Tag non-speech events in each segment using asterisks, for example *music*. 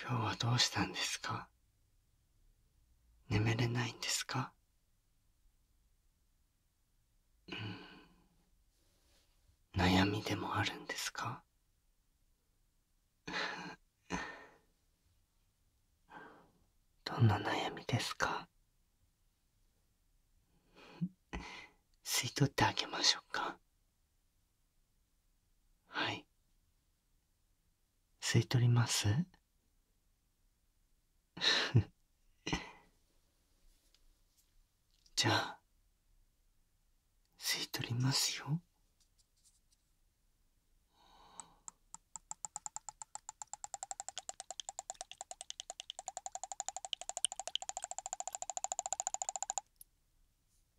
今日はどうしたんですか眠れないんですかうん悩みでもあるんですかどんな悩みですか吸い取ってあげましょうかはい吸い取ります *laughs* じゃあ吸い取りますよ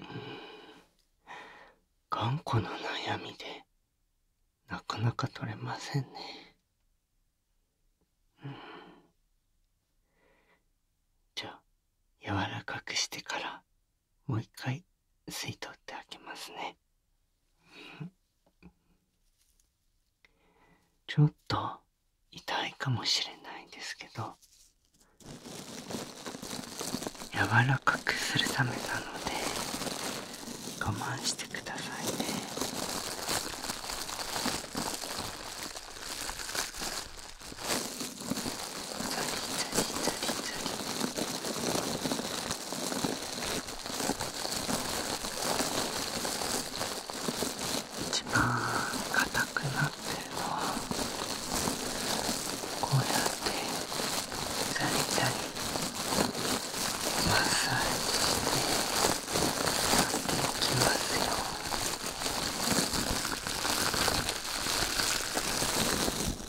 うん。頑固な悩みでなかなか取れませんね、うん、じゃあ柔らかくしてからもう一回吸い取ってあげますねちょっと痛いかもしれないんですけど柔らかくするためなので我慢してくださいねザリザリザリザリ一番硬くなってるのはこうやってチャリチャリマッサージしてやっていきますよ。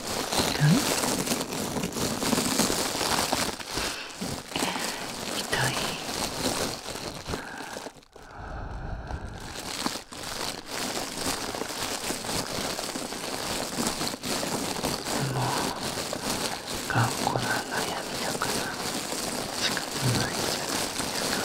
痛いでもう頑固な悩みだから仕方ないじゃないですか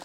く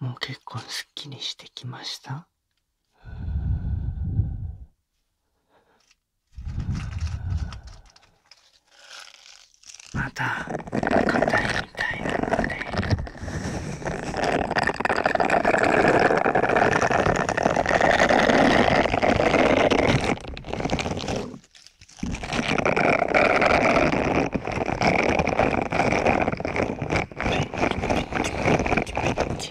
もう結構すっきりしてきましたまた硬いみたいなッチッチッチッチッチッチッ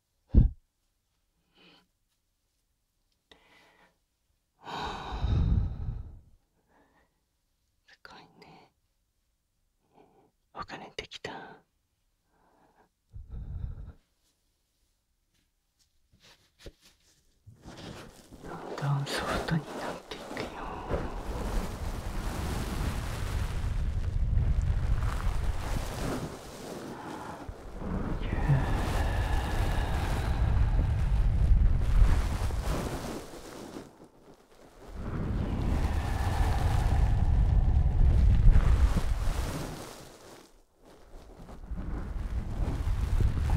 すごいねお金できたどんどんソフトになっていくよこ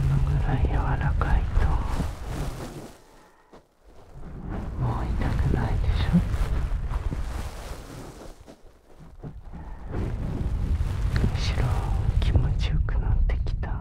のぐらい柔らかいともう痛くないでしょ。気持ちよくなってきた。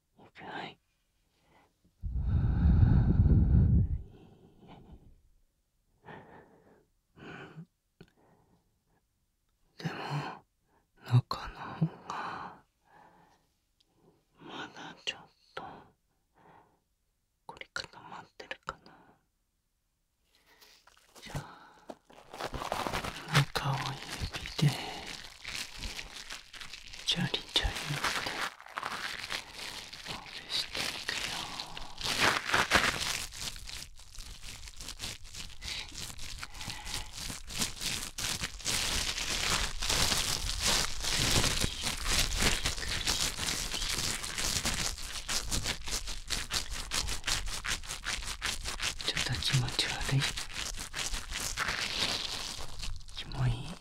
よくない。でも、中の方が、まだちょっと、凝り固まってるかな。じゃあ、中を指で、ちょりちょりって。ほぐしていくよちょっと気持ち悪いキモい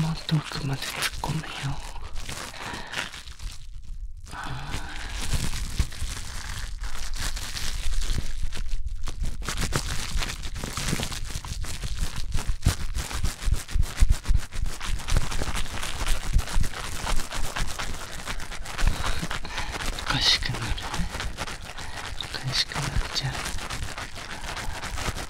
もっと奥まで突っ込むよおかしくなるおかしくなっちゃう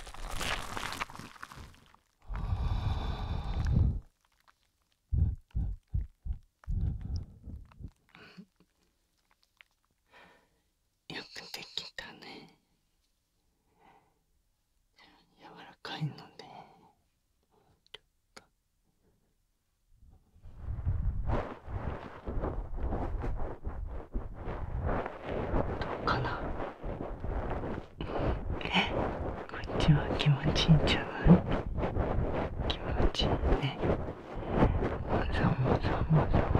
うんよくできたねやわらかいのでちょっとうん。どうかなえこっちは気持ちいいんちゃう。気持ちいいねざわざわざわざわあ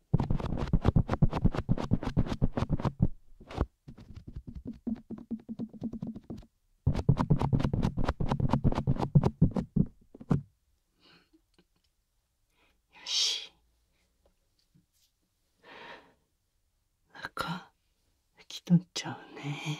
よし中拭き取っちゃうね。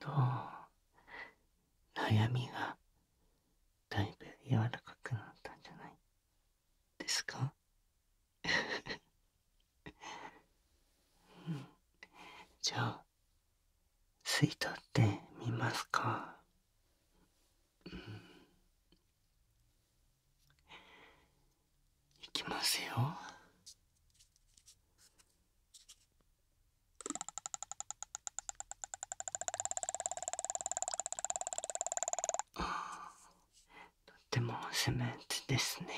どう悩みがだいぶ柔らかくなったんじゃないですかうん、*laughs* じゃあ吸い取ってみますか、うん、いきますよとってもスムーズですね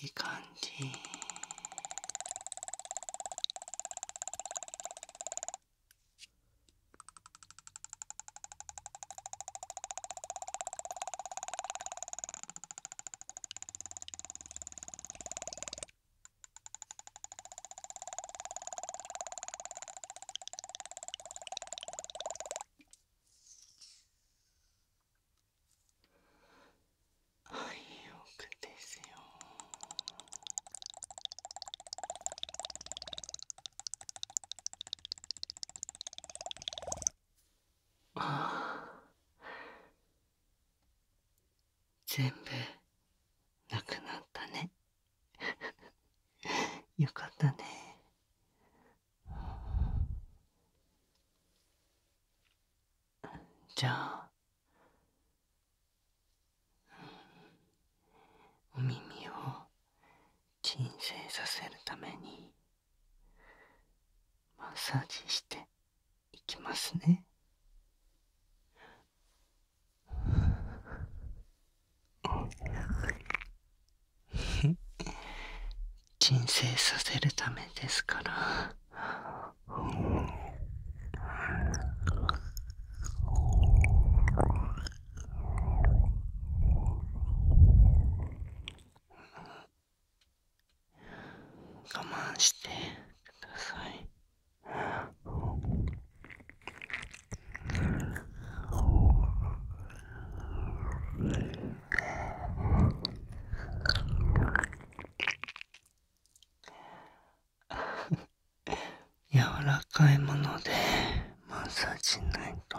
いい感じはい奥ですよああ全部なくなったね *laughs* よかったね。じゃあ、お耳を鎮静させるために、マッサージしていきますね。鎮静させるためですから我慢してください。柔らかいものでマッサージしないと。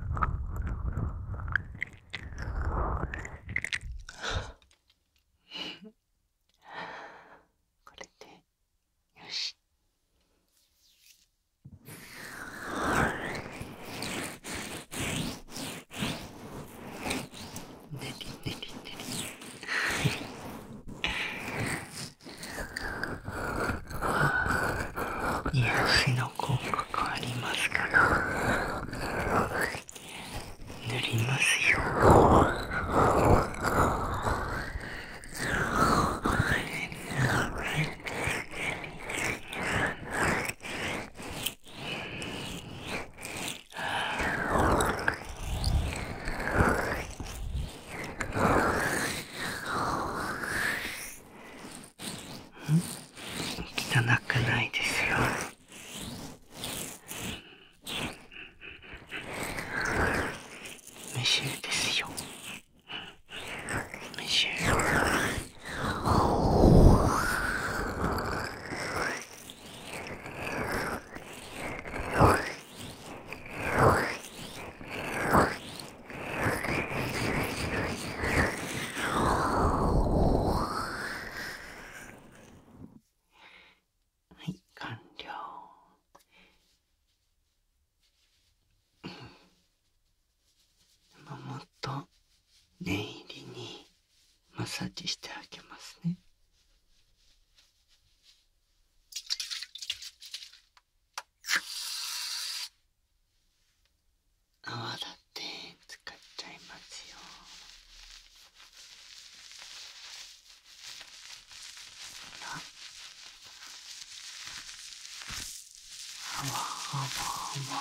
これでよし。ねりねりねり。癒やしの効果がありますから塗りますよん汚くないですよ。メシューですよ。メシュー。はい完了もっと念入りにマッサージしてあげますね泡立て使っちゃいますよあわあわあわ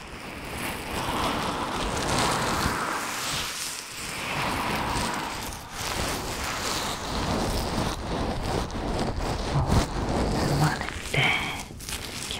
生まれてき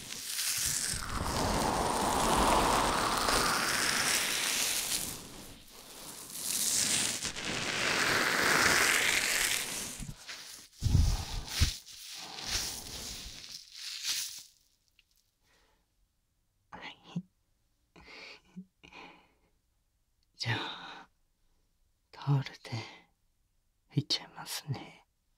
*laughs* じゃあタオルで拭いちゃいますね。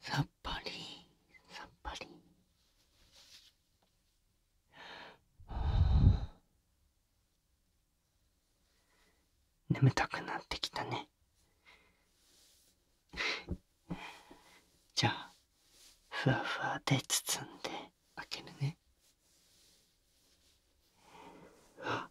さっぱりさっぱり眠たくなってきたねじゃあふわふわで包んで開けるねはっ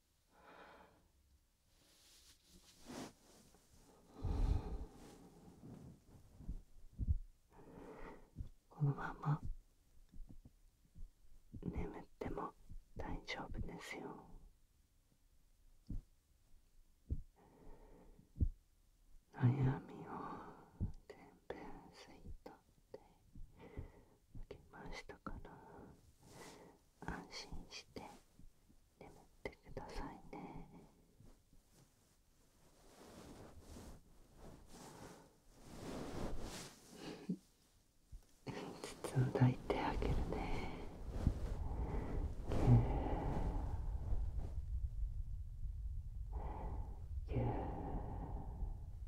このまま眠っても大丈夫ですよ悩みを全部吸い取ってけましたから安心して眠ってくださいね包ん *laughs* 抱いてあげるねぎゅー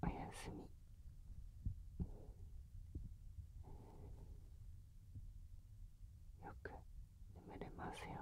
おやすみよく眠れますように。